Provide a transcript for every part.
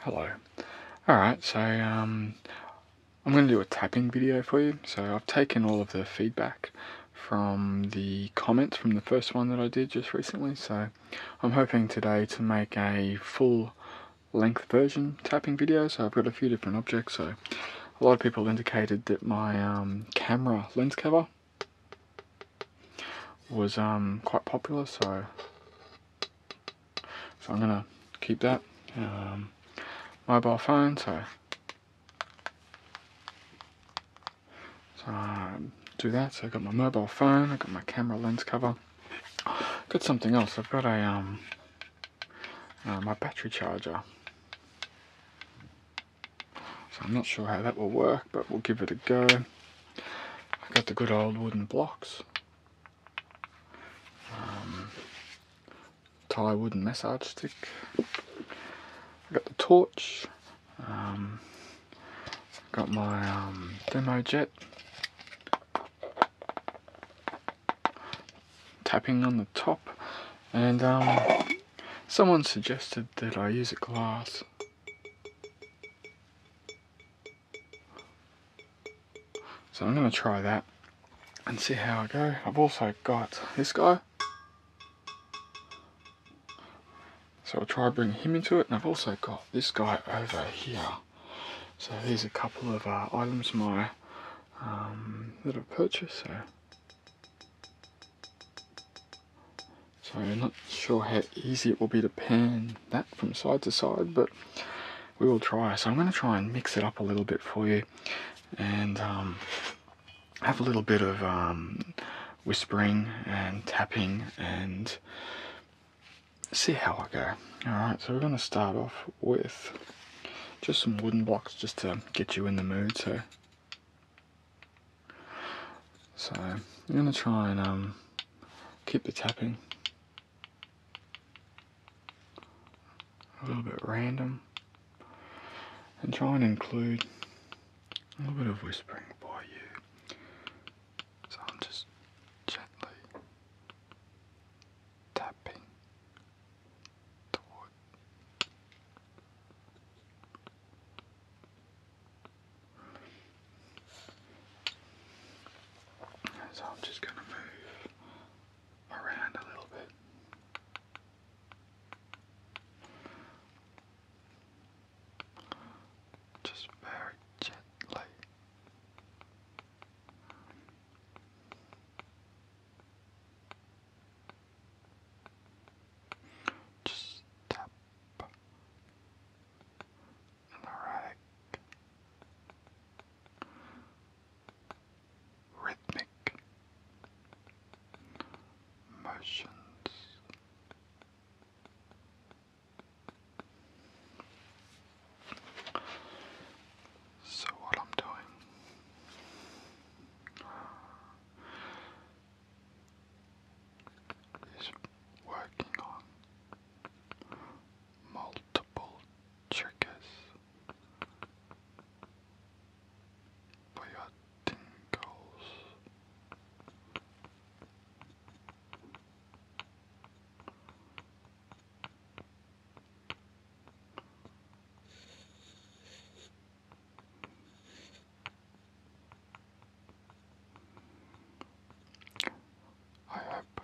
Hello. Alright, so um, I'm going to do a tapping video for you. So I've taken all of the feedback from the comments from the first one that I did just recently. So I'm hoping today to make a full length version tapping video. So I've got a few different objects. So a lot of people indicated that my um, camera lens cover was um, quite popular. So so I'm gonna keep that. Um, mobile phone. so, so I do that. So I got my mobile phone, I got my camera lens cover. Got something else. I've got a um, uh, my battery charger. So I'm not sure how that will work, but we'll give it a go. I got the good old wooden blocks. Um, Thai wooden massage stick. I got the torch. Um, got my um, demo jet. Tapping on the top, and um, someone suggested that I use a glass so I'm going to try that and see how I go. I've also got this guy. So I'll try bringing him into it. And I've also got this guy over here. So there's a couple of uh, items my um, that I've purchased. so I'm not sure how easy it will be to pan that from side to side, but we will try. So I'm going to try and mix it up a little bit for you, and um, have a little bit of um, whispering and tapping, and see how I go. All right. So we're going to start off with just some wooden blocks, just to get you in the mood. So, so I'm going to try and um, keep the tapping a little bit random and try and include a little bit of whispering by you. So I'm just gently tapping the wood. So I'm just going to move around a little bit. Just very gently. Just tap, and Rhythmic motions. So, what I'm doing is working on multiple triggers for your I hope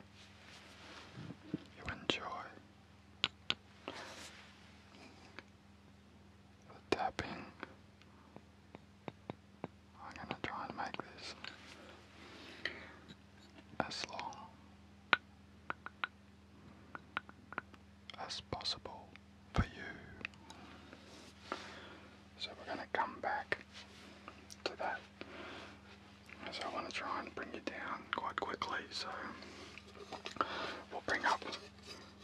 you enjoy the tapping. I'm going to try and make this as long as possible for you. So we're going to come back to that so I want to try and bring you down quite quickly. So we'll bring up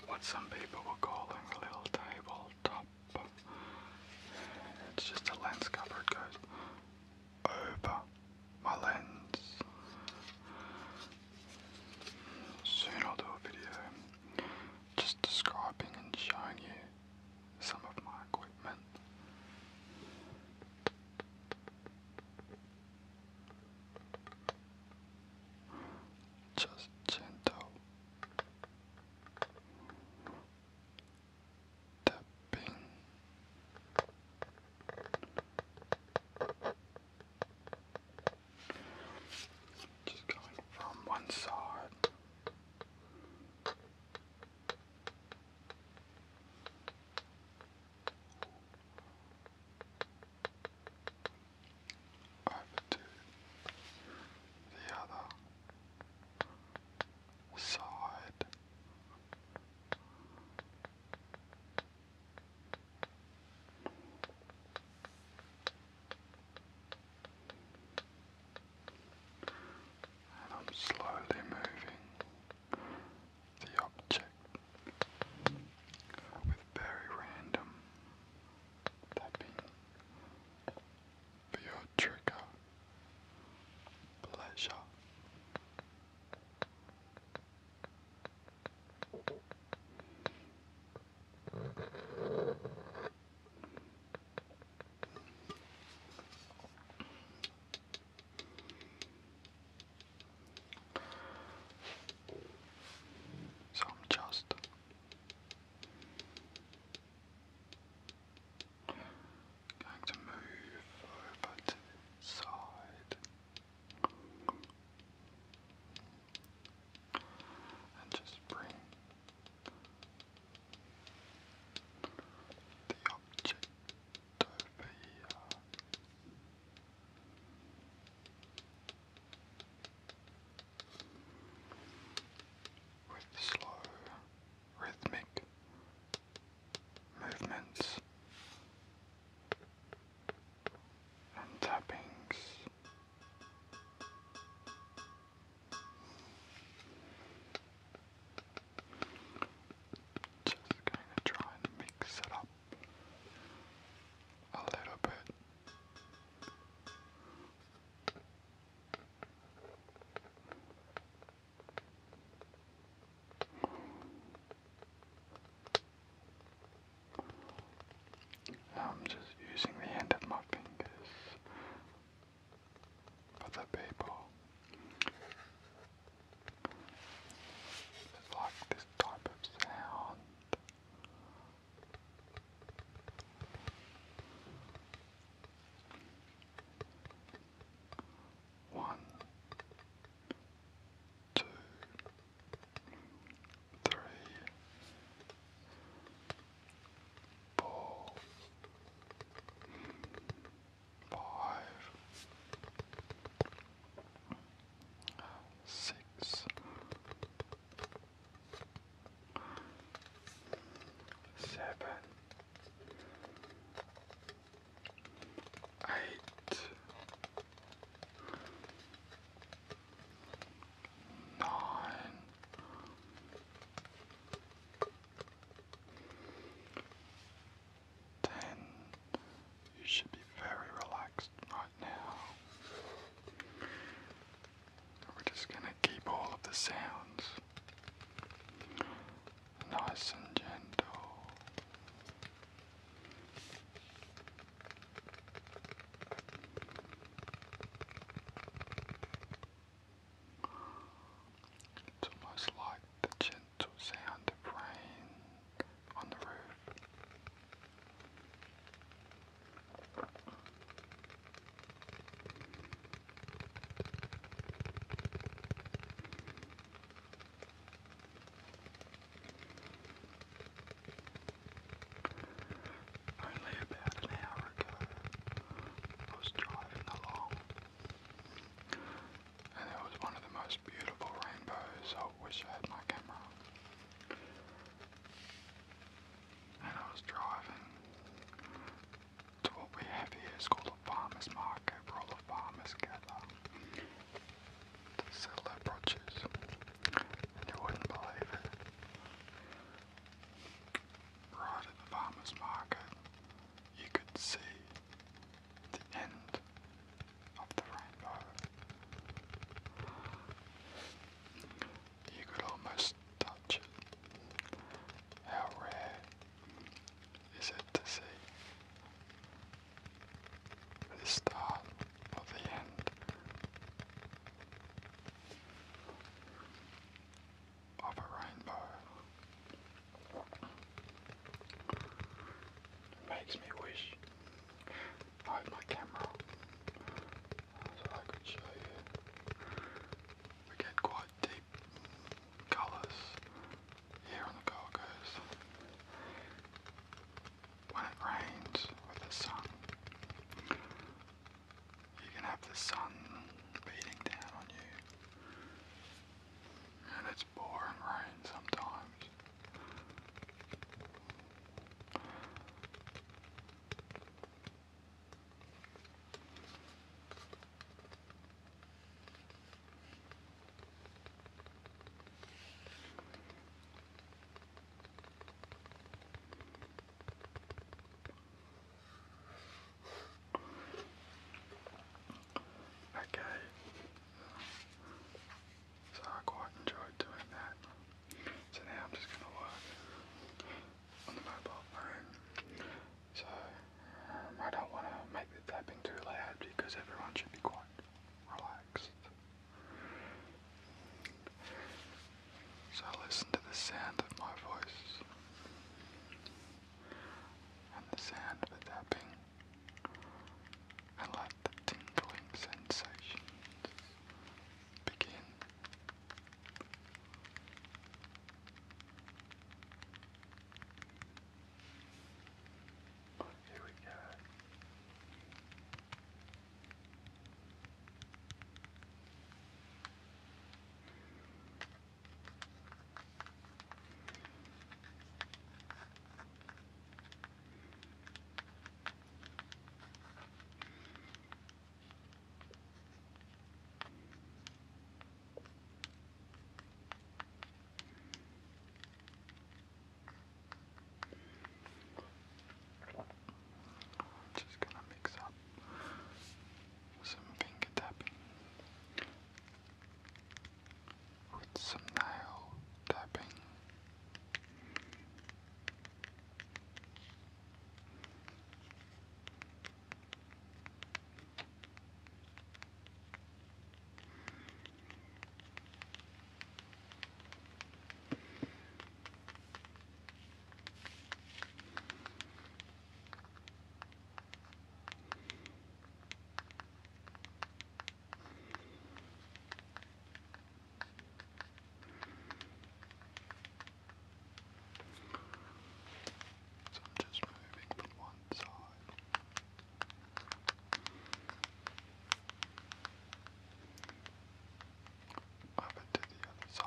what some people were calling a little tabletop. It's just a lens cover. It goes over my lens. Soon I'll do a video just describing and showing you some of my equipment. Just gentle tapping. Just going from one side over to the other side and I'm slowly moving the object with very random tapping for your trigger pleasure. So I'm just going to move over to this side and just bring the object over here. With slow rhythmic movements and tappings. Just going to try and mix it up a little bit. I'm just using the end of my fingers for the people. like this type of sound. One, two, three, four, five, six, seven, eight, nine. Ten. You should be very relaxed right now. We're just going to keep all of the sounds nice and gentle. It's almost like the gentle sound of rain on the roof. Only about an hour ago, I was driving along and it was one of the most beautiful rainbows. I wish I had my camera. And I was driving to what we have here is called a farmer's market all the farmers gather to sell their produce. And you wouldn't believe it. Right at the farmer's market you could see the end of the rainbow. You could almost touch it. How rare is it to see the start of the end? of a rainbow. makes me wish I had my camera so I could show you. We get quite deep colours here on the Coast. When it rains with the sun, you can have the sun beating down on you. And it's boring rain sometimes. Okay. So I quite enjoyed doing that. So now I'm just gonna work on the mobile phone. So um, I don't wanna make the tapping too loud because everyone should be quite relaxed. So listen to the sound of my voice and the sound of the tapping, I let the tingling sensations begin. Here we go. I'm just gonna mix up some finger tapping with some nail tapping. So I'm just moving from one side. Over to the other side.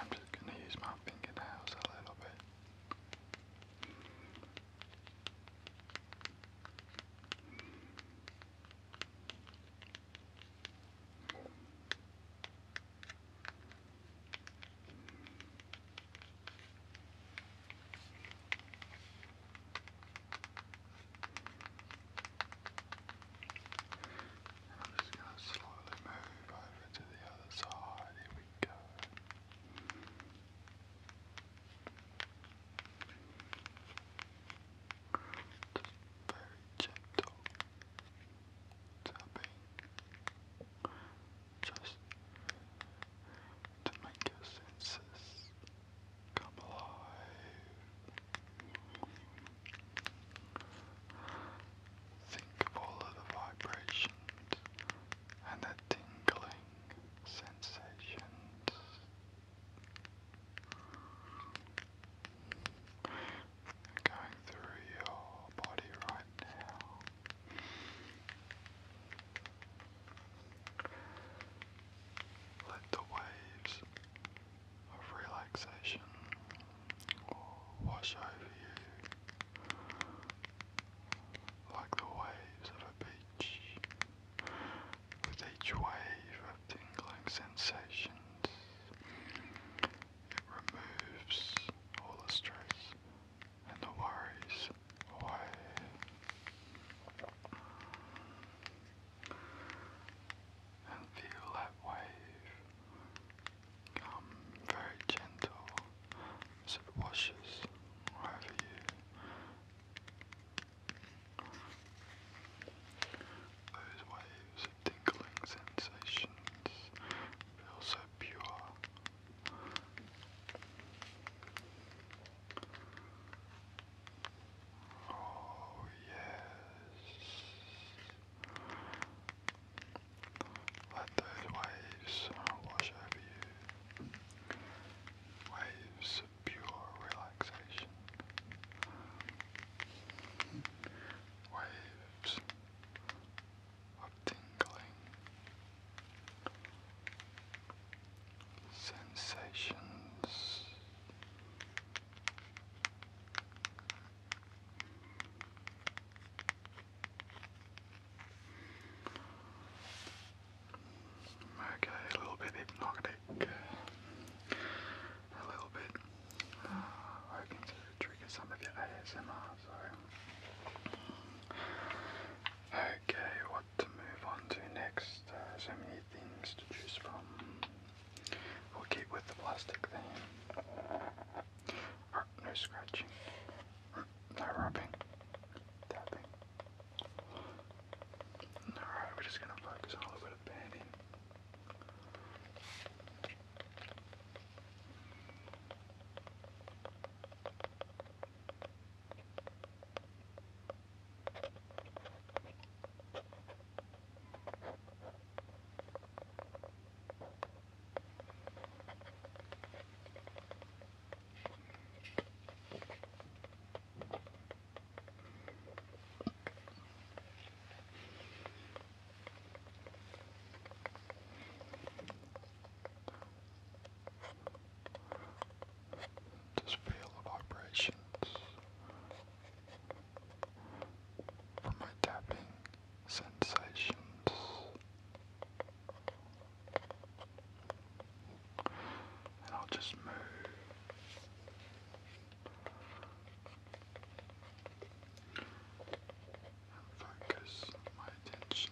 I'm just going to use my fingernails a little bit. I'm just going to slowly move over to the other side. Here we go. very gentle tapping just to make your senses come alive. Think of all of the vibrations and the tingling sensations. Going through your body right now. Let the waves of relaxation wash over you like the waves of a beach. With each wave of tingling sensations, it removes all the stress and the worries away. And feel that wave Come very gentle as it washes over you. Those waves of tingling sensations feel so pure. Oh, yes. Let those waves wash over you. Waves of pure relaxation. Waves of tingling. Sensations. Okay, a little bit hypnotic. A little bit uh, hoping to trigger some of your ASMR, so. Okay, what to move on to next? Uh, so many things to choose from. We'll keep with the plastic theme no scratching, no rubbing, Alright, we're just going to focus on a little bit of banding. Just feel the vibrations from my tapping sensations. And I'll just move and focus my attention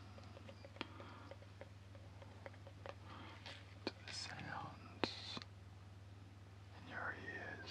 to the sounds in your ears.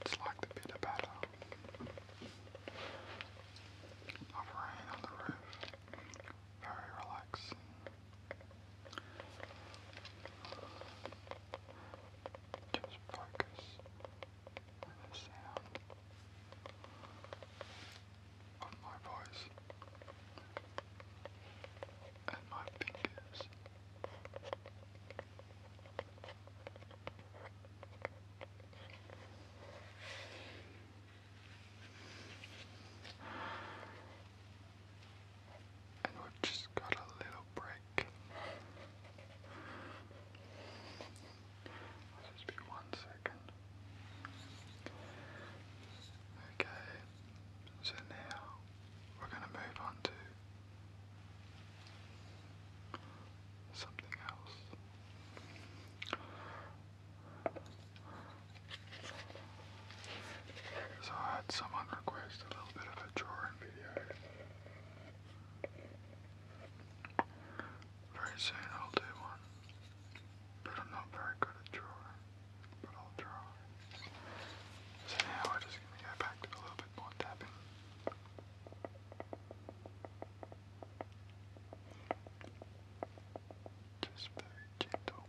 It's like the bit about of rain on the roof. Very relaxing. Just focus on the sound of my voice at my fingers. And we've just got a little break. just be one second. Okay, so now we're going to move on to something else. So I had someone request a little bit of a drawing video. Very soon I'll do one, but I'm not very good at drawing but i So now we're just gonna go back to a little bit more tapping. Just very gentle.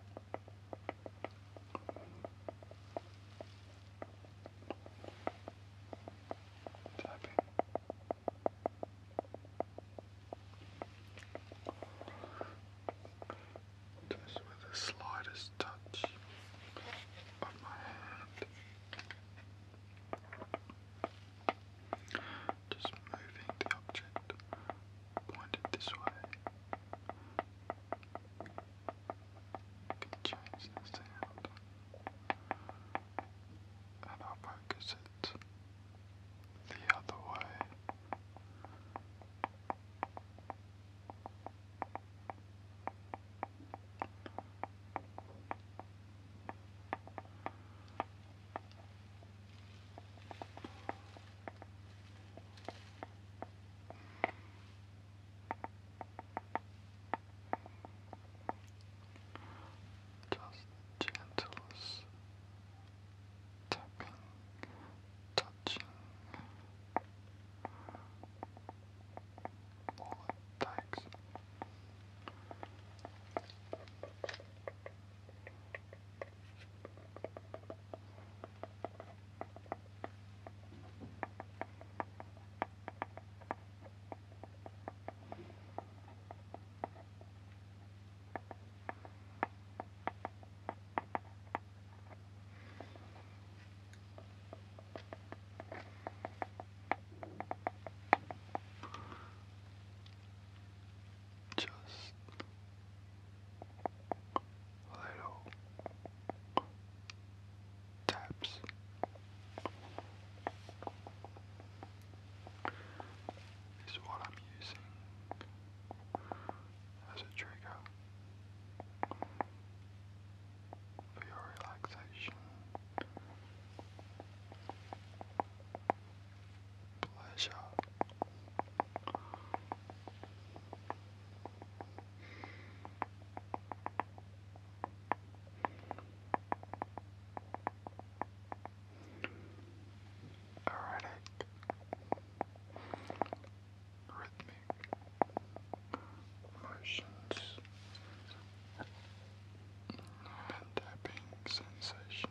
Tapping just with the slightest touch of my hand. Just moving the object pointed this way. can change the sound. And i focus it the other way. Just the gentlest tapping, touching, all it takes. Just little taps. Is what I'm using as a trigger for your relaxation, pleasure. Erratic rhythmic motions and tapping sensations.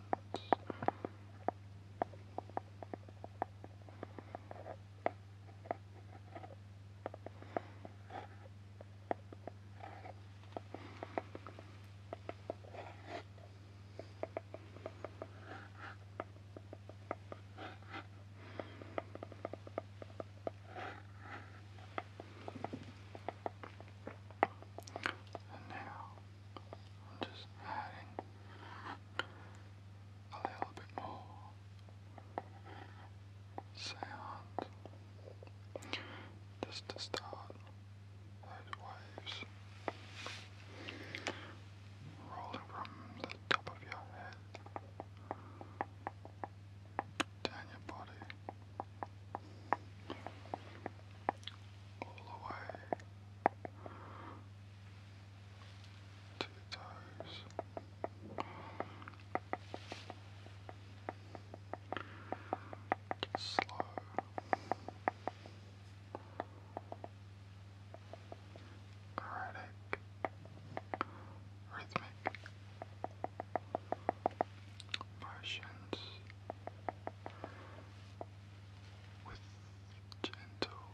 And now I'm just adding a little bit more sound just to start those waves rolling from the top of your head down your body all the way to your toes. Slow erratic, rhythmic motions with gentle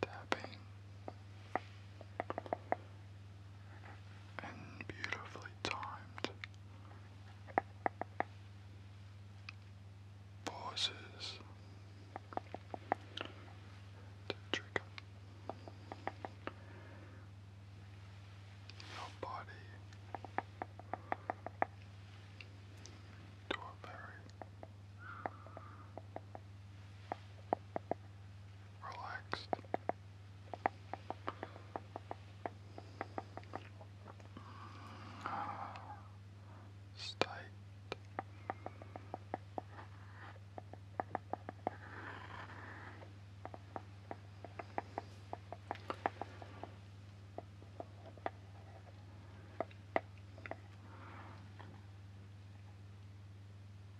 tapping and beautifully timed pauses to trigger your body to a very relaxed state.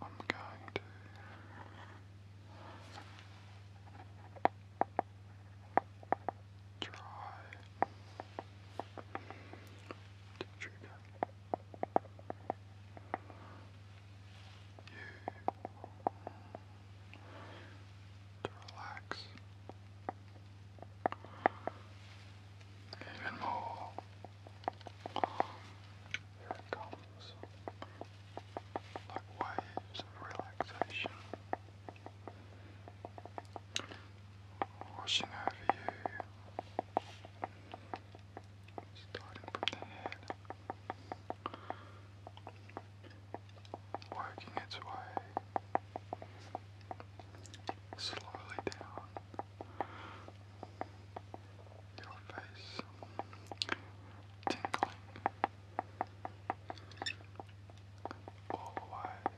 I'm going to Try to trigger you to relax even more. Here it comes, like waves of relaxation. Relax. Washing over you, starting from the head, working its way slowly down your face, tingling all the way.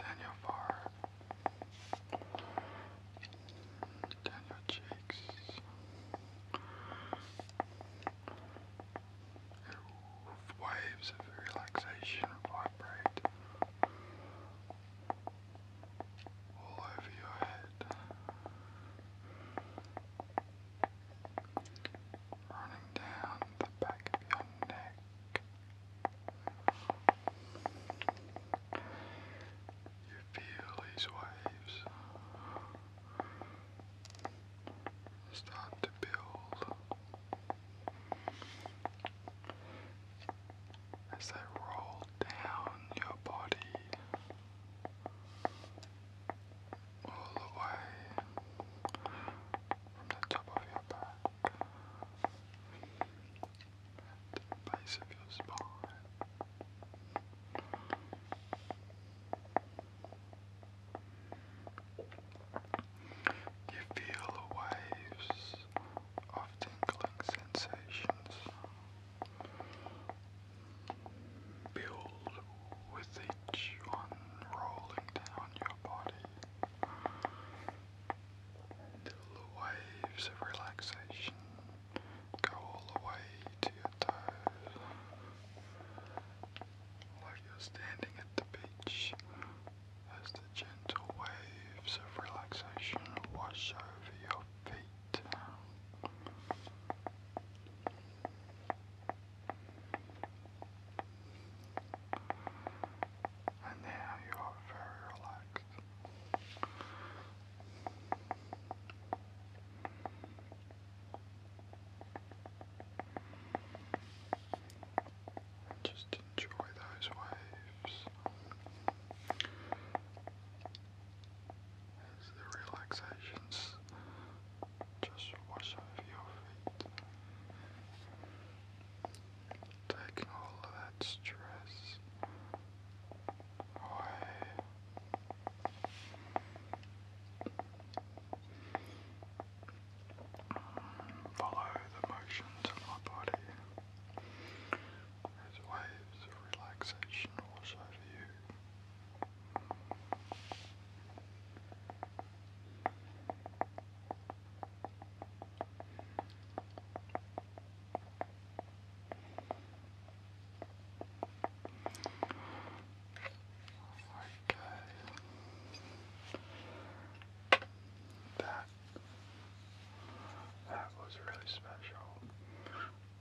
Daniel Farr, Daniel Jakes, waves of relaxation vibrate all over your head running down the back of your neck. You feel these waves start to build as they roll down your body all the way from the top of your back the base of your spine. You feel waves of tingling sensations build with each one rolling down your body until the waves of relaxation go all the way to your toes. Like you're standing at the beach as the gentle waves of relaxation wash over your feet. And now you are very relaxed. Just enjoy those waves as the relaxations just wash off your feet, taking all that stress away. Follow the motions of my body as waves of relaxation wash over you. Alright That that was really special.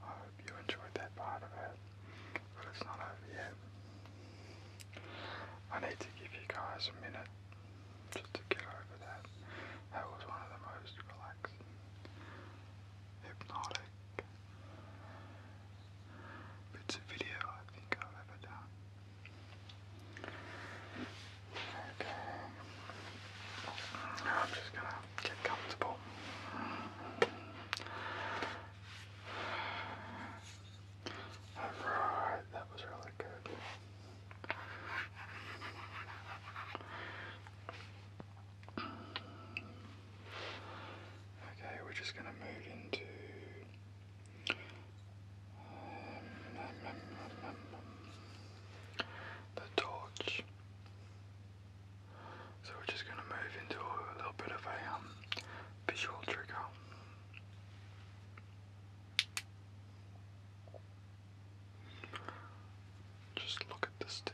I hope you enjoyed that part of it but it's not over yet. I need to give you guys a minute just to get over that. That was one of the most relaxing, hypnotic bits of video I think I've ever done. Okay. I'm just gonna get comfortable. Alright, that was really good. Okay, we're just going to move into. Um, the torch. So we're just going to move into a little bit of a um, visual trigger. Just look at the stick.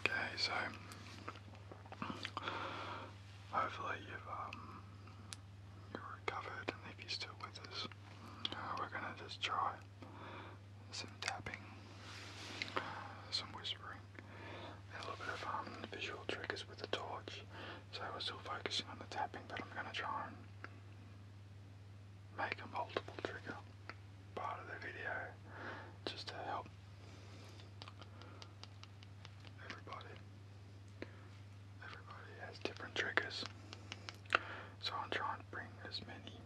Okay, so hopefully you've um, you're recovered and if you're still with us, uh, we're gonna just try some tapping, some whispering, and a little bit of um, visual triggers with the torch. So we're still focusing on the tapping, but I'm gonna try and make a multiple trigger part of the video just to help everybody Everybody has different triggers, so I'm trying to bring as many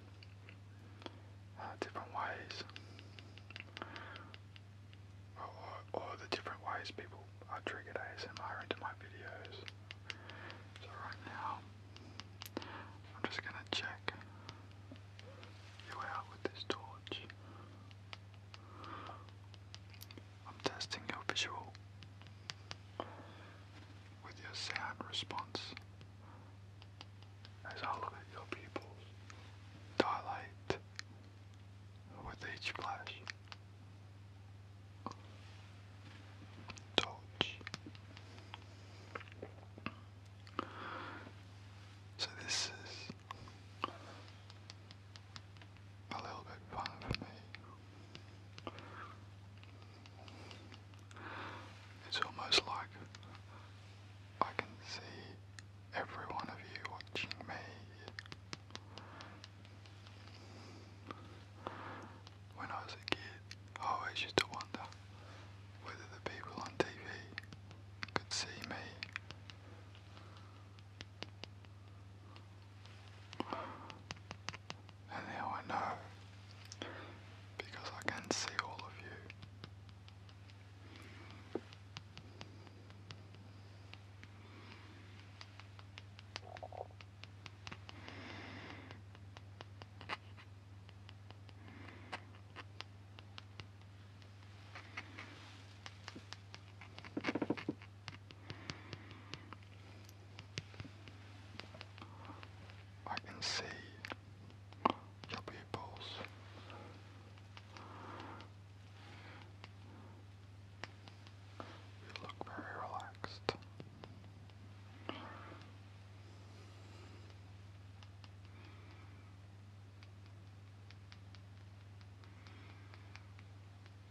uh, different ways, or, the different ways people are triggered ASMR into my videos. So right now, I'm just gonna check you out with this torch. I'm testing your visual with your sound response as I look your pupils dilate with each flash. Touch. So this is a little bit fun for me. It's almost like I can see every one of you watching me. When I was a kid, I always used to wonder whether the people on TV could see me. And now I know because I can see all of you. I can see your pupils. You look very relaxed.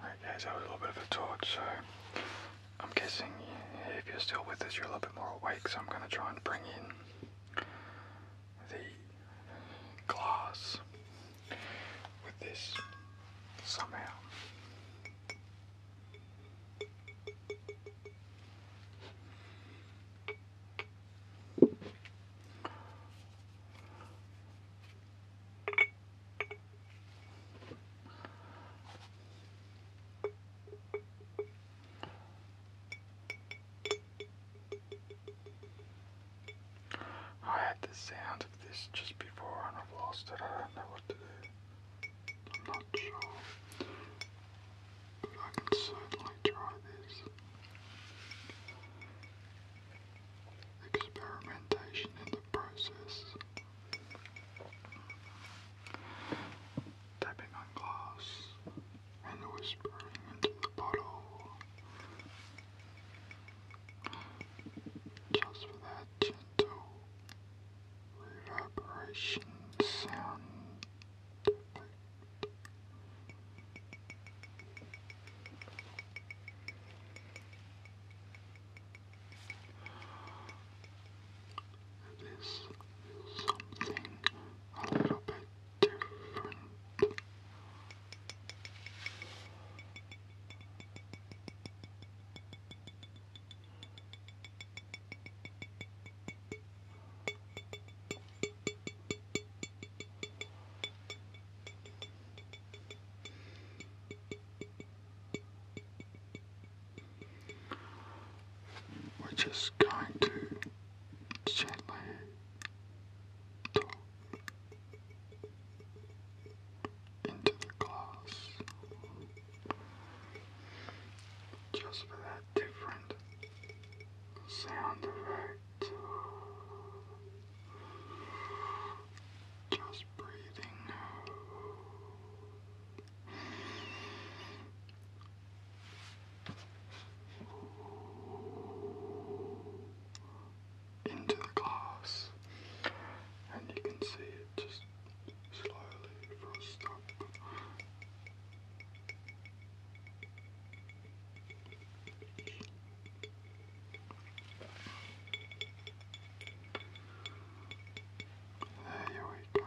Alright guys, that was a little bit of a talk, so I'm guessing if you're still with us, you're a little bit more awake, so I'm going to try and bring in the glass with this somehow. I had the sound of this just before and I've lost it. I don't know what to do. I'm not sure. But I can certainly try this. Experimentation in the process. Tapping on glass and whispering into the bottle. Just for that gentle reverberation sound effect. It is something a little bit different we're just going to gently talk into the glass just for that different sound effect. Just breathing into the glass, and you can see it just slowly frost up. There we go.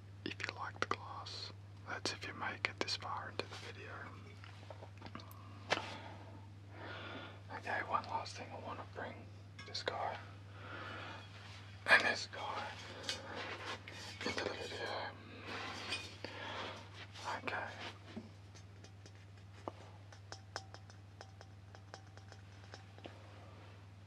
if you like the class. That's if you make it this far into the video. Okay, one last thing I want to bring this guy and this guy into the video. Okay.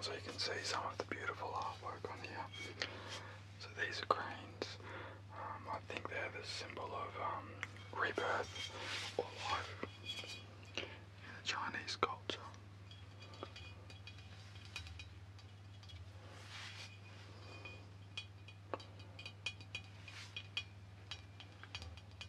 So you can see some of the beautiful artwork on here. So these are cranes. Um, I think they're the symbol of um, rebirth or life in the Chinese culture.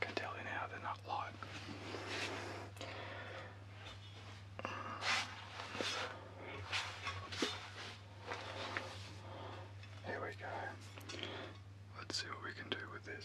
can tell you now they're not light. Here we go. Let's see what we can do with this.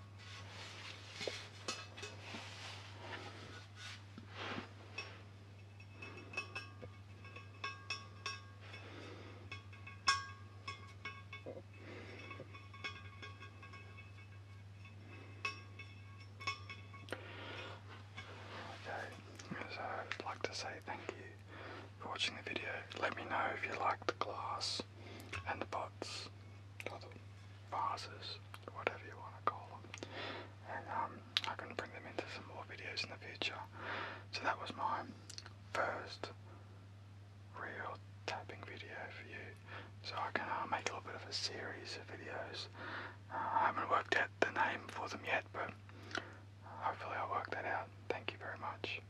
so I'd like to say thank you for watching the video. Let me know if you like the glass and the pots, or the vases, whatever you want to call them. And um, I can bring them into some more videos in the future. So that was my first real tapping video for you. So I can uh, make a little bit of a series of videos. Uh, I haven't worked out the name for them yet, but hopefully I'll work that out. Thank you very much.